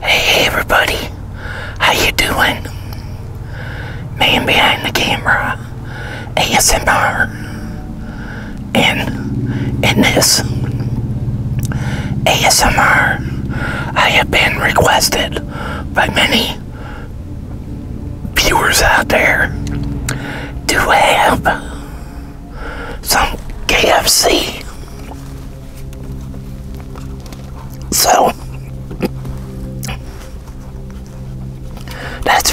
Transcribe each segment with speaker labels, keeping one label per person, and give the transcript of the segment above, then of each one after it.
Speaker 1: Hey everybody, how you doing? Man behind the camera, ASMR, and in this ASMR, I have been requested by many viewers out there to have some KFC so that's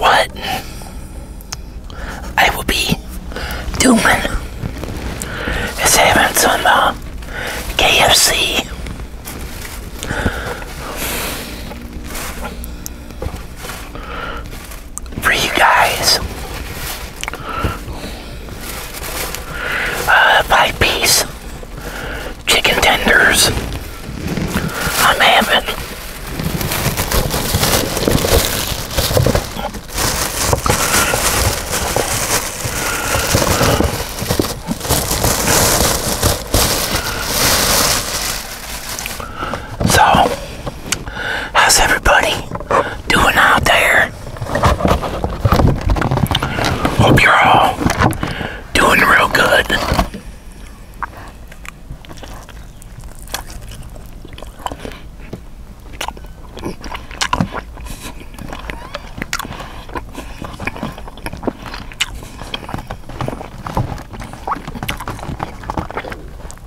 Speaker 1: what I will be doing is having some uh, KFC for you guys. Uh, five piece chicken tenders. I'm having. So, how's everybody doing out there? Hope you're all doing real good.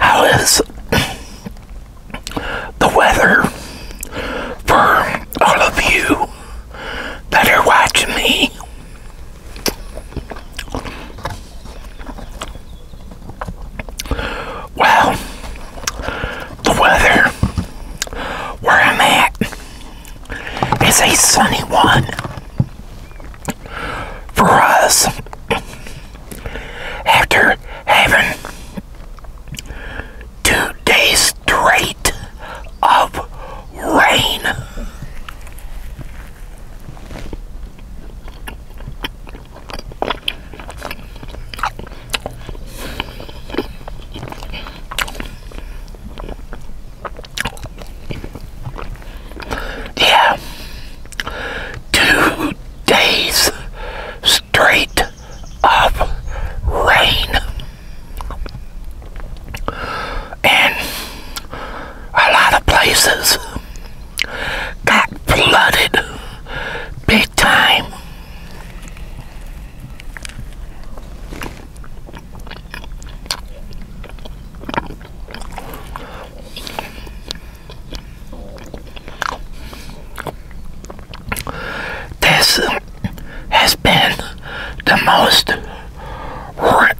Speaker 1: How is the weather for all of you that are watching me? Well, the weather where I'm at is a sunny one for us after having two days straight of rain. Yeah, two days straight of rain. And a lot of places got flooded big time. This has been the most,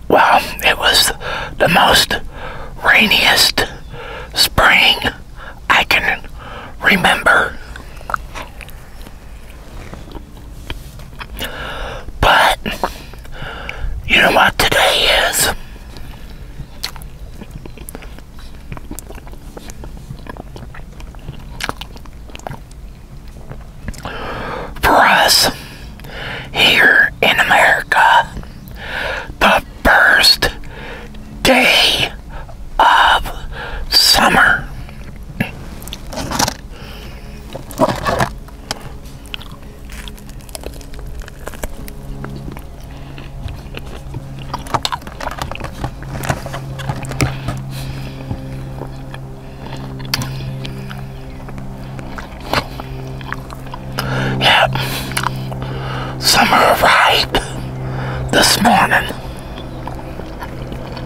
Speaker 1: well, it was the most rainiest spring I can remember. But you know what today is? For us here in America, the first day of summer. Yep, summer arrived this morning.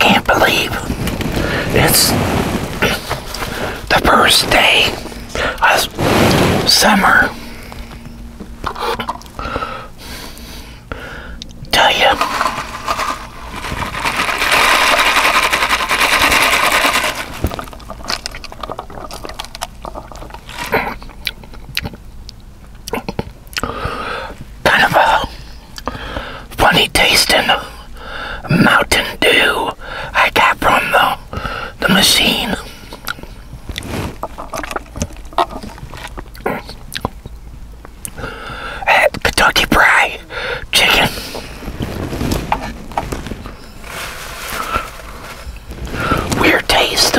Speaker 1: Can't believe it's the first day of summer. Tell you. Kind funny tasting Mountain Dew I got from the, the machine. Kentucky Fried Chicken. Weird taste.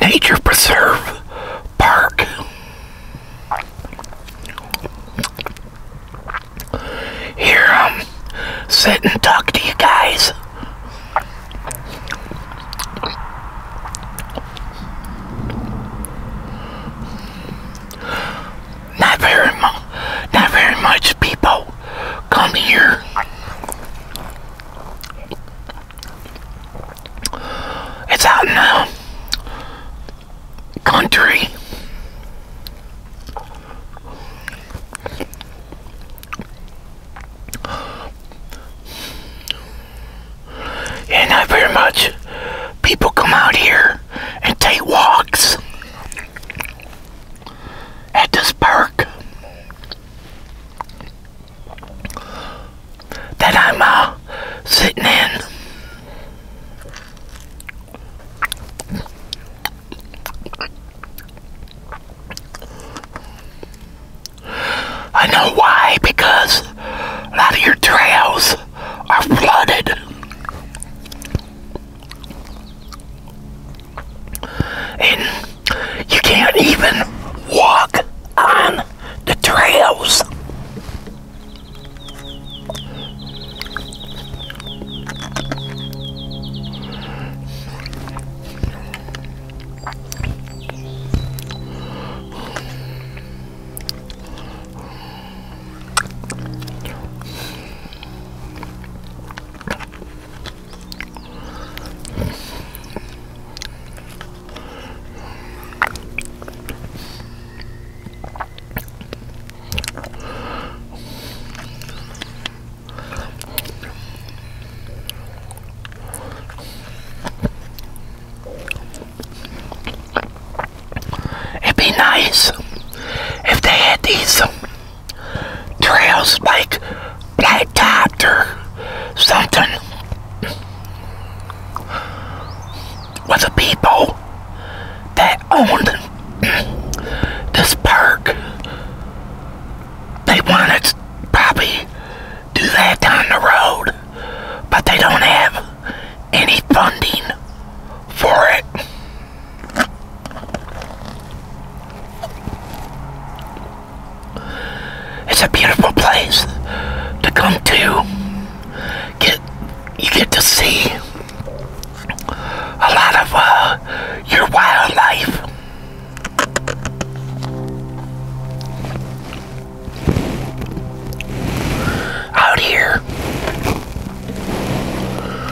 Speaker 1: nature preserve park. Here I'm um, and talk to you guys. Not very, mu not very much people come here. It's out now, country. And not very much people come out here and take walks at this park that I'm uh, sitting in. I know why, because a lot of your trails are flooded and you can't even walk on the trails. It'd be nice if they had these trail spike blacktop or something with the people that owned this park. They wanted to probably do that down the road, but they don't have any funding for it. It's a beautiful place to come to. Get you get to see a lot of uh, your wildlife. out here.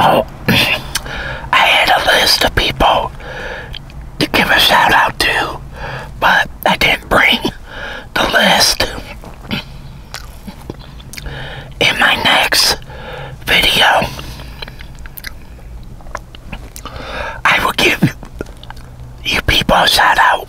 Speaker 1: Oh, I had a list of people to give a shout out to, but I didn't bring the list in my next video, I will give you people a shout out.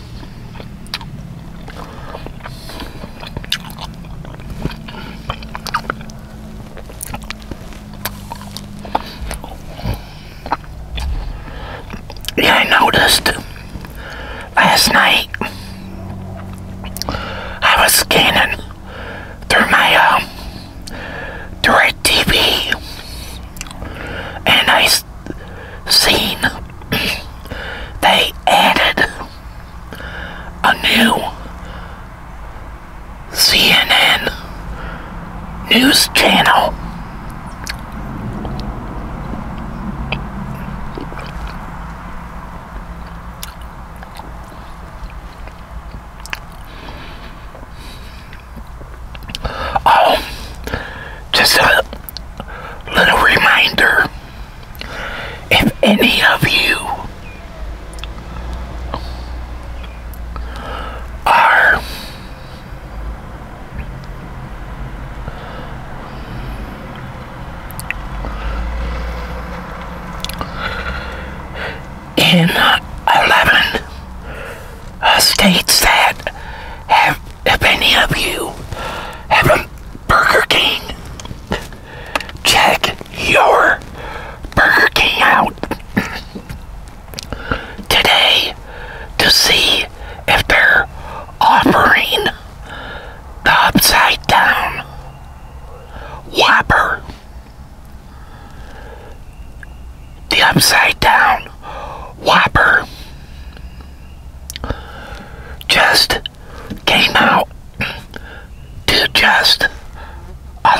Speaker 1: Yeah, I noticed last night I was scanning through my um, TV and I seen they added a new CNN news channel. Oh, just little reminder if any of you are in 11 states that have, if any of you have Burger King. Check your Burger King out today to see if they're offering the upside down Whopper. The upside down Whopper. Just came out to just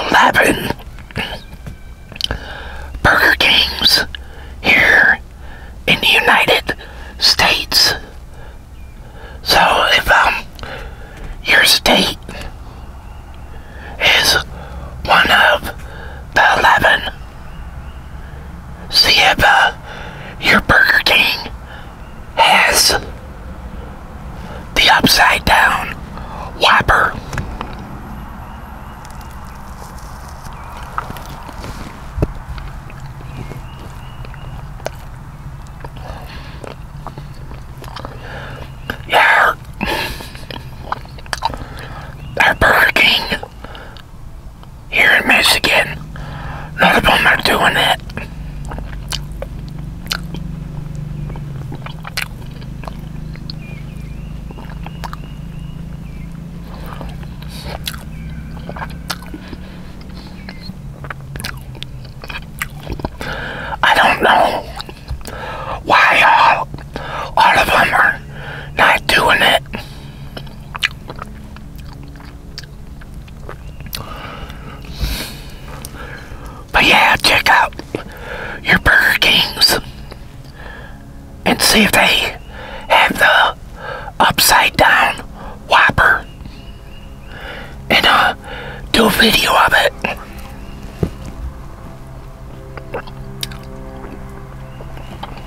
Speaker 1: 11 Burger Kings here in the United States. So if um, your state is one of the 11, see if uh, your Burger King has the upside down whopper. Yeah, our, our Burger here in Michigan. None of them are doing it. I don't know why all, all of them are not doing it. But yeah, check out your Burger Kings and see if they have the upside down Whopper and uh, do a video of it.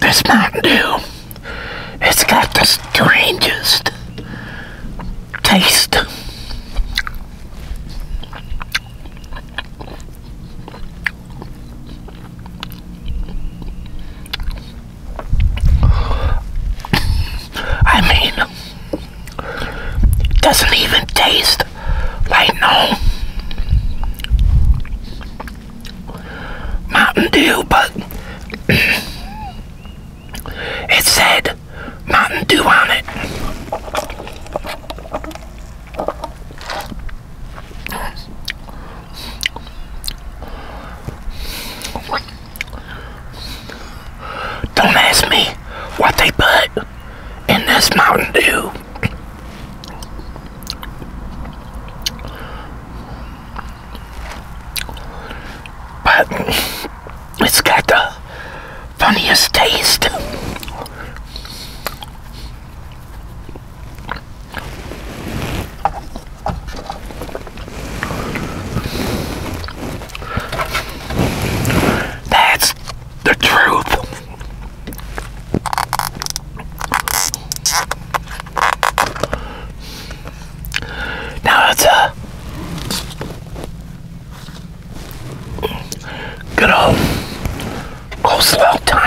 Speaker 1: This Mountain Dew, it's got the strangest taste. I mean... It Doesn't even taste like no Mountain Dew, but it said Mountain Dew on it. Don't ask me what they put in this Mountain Dew. But it's got the funniest taste. That's the truth. Now it's a good old Roosevelt time.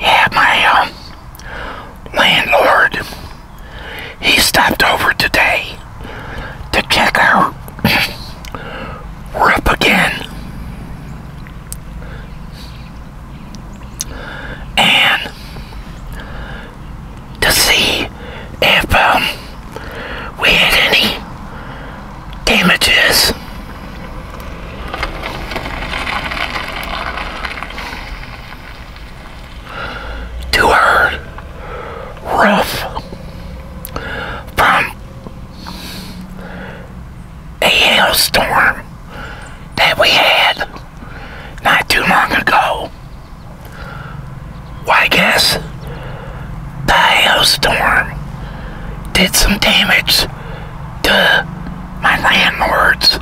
Speaker 1: yeah, my um, landlord, he stopped over today to check our roof again and to see if um, we had any damages. To our roof from a hailstorm that we had not too long ago. I guess the hailstorm did some damage to my landlord's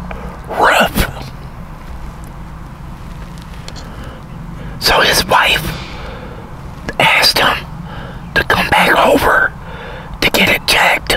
Speaker 1: roof. So his wife asked him to come back over to get it checked.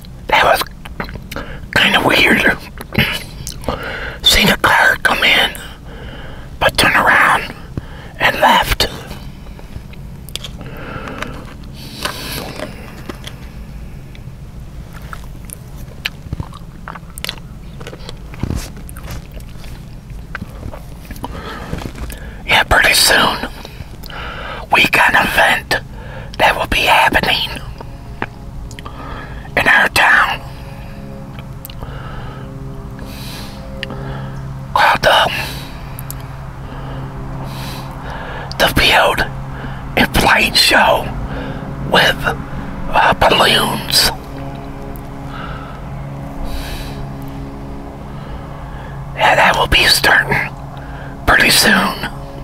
Speaker 1: that was kind of weird. Seen the car come in, but turn around and left. Yeah, pretty soon. We got an event that will be happening in our town called the, uh, the Field a Flight Show with uh, balloons. and that will be starting pretty soon.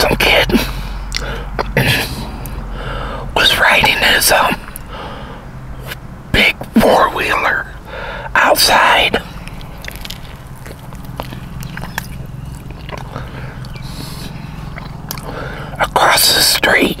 Speaker 1: Some kid was riding his um big four-wheeler outside. Across the street.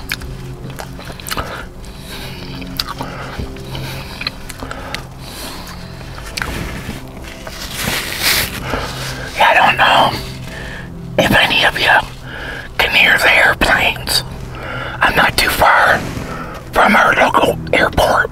Speaker 1: I don't know if any of you can hear the airplanes. I'm not too far from our local airport.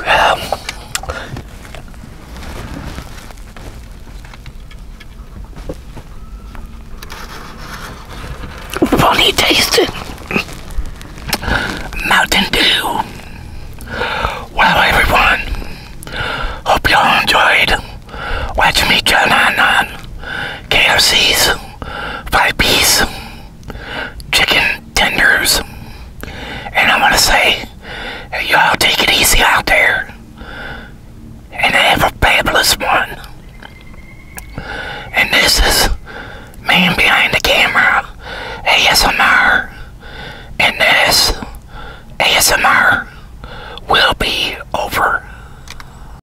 Speaker 1: Yeah. Funny tasting Mountain Dew. Well, everyone, hope y'all enjoyed watching me turn on on five piece chicken tenders. And I'm going to say, y'all take it easy out there. And I have a fabulous one. And this is Man Behind the Camera ASMR. And this ASMR will be over.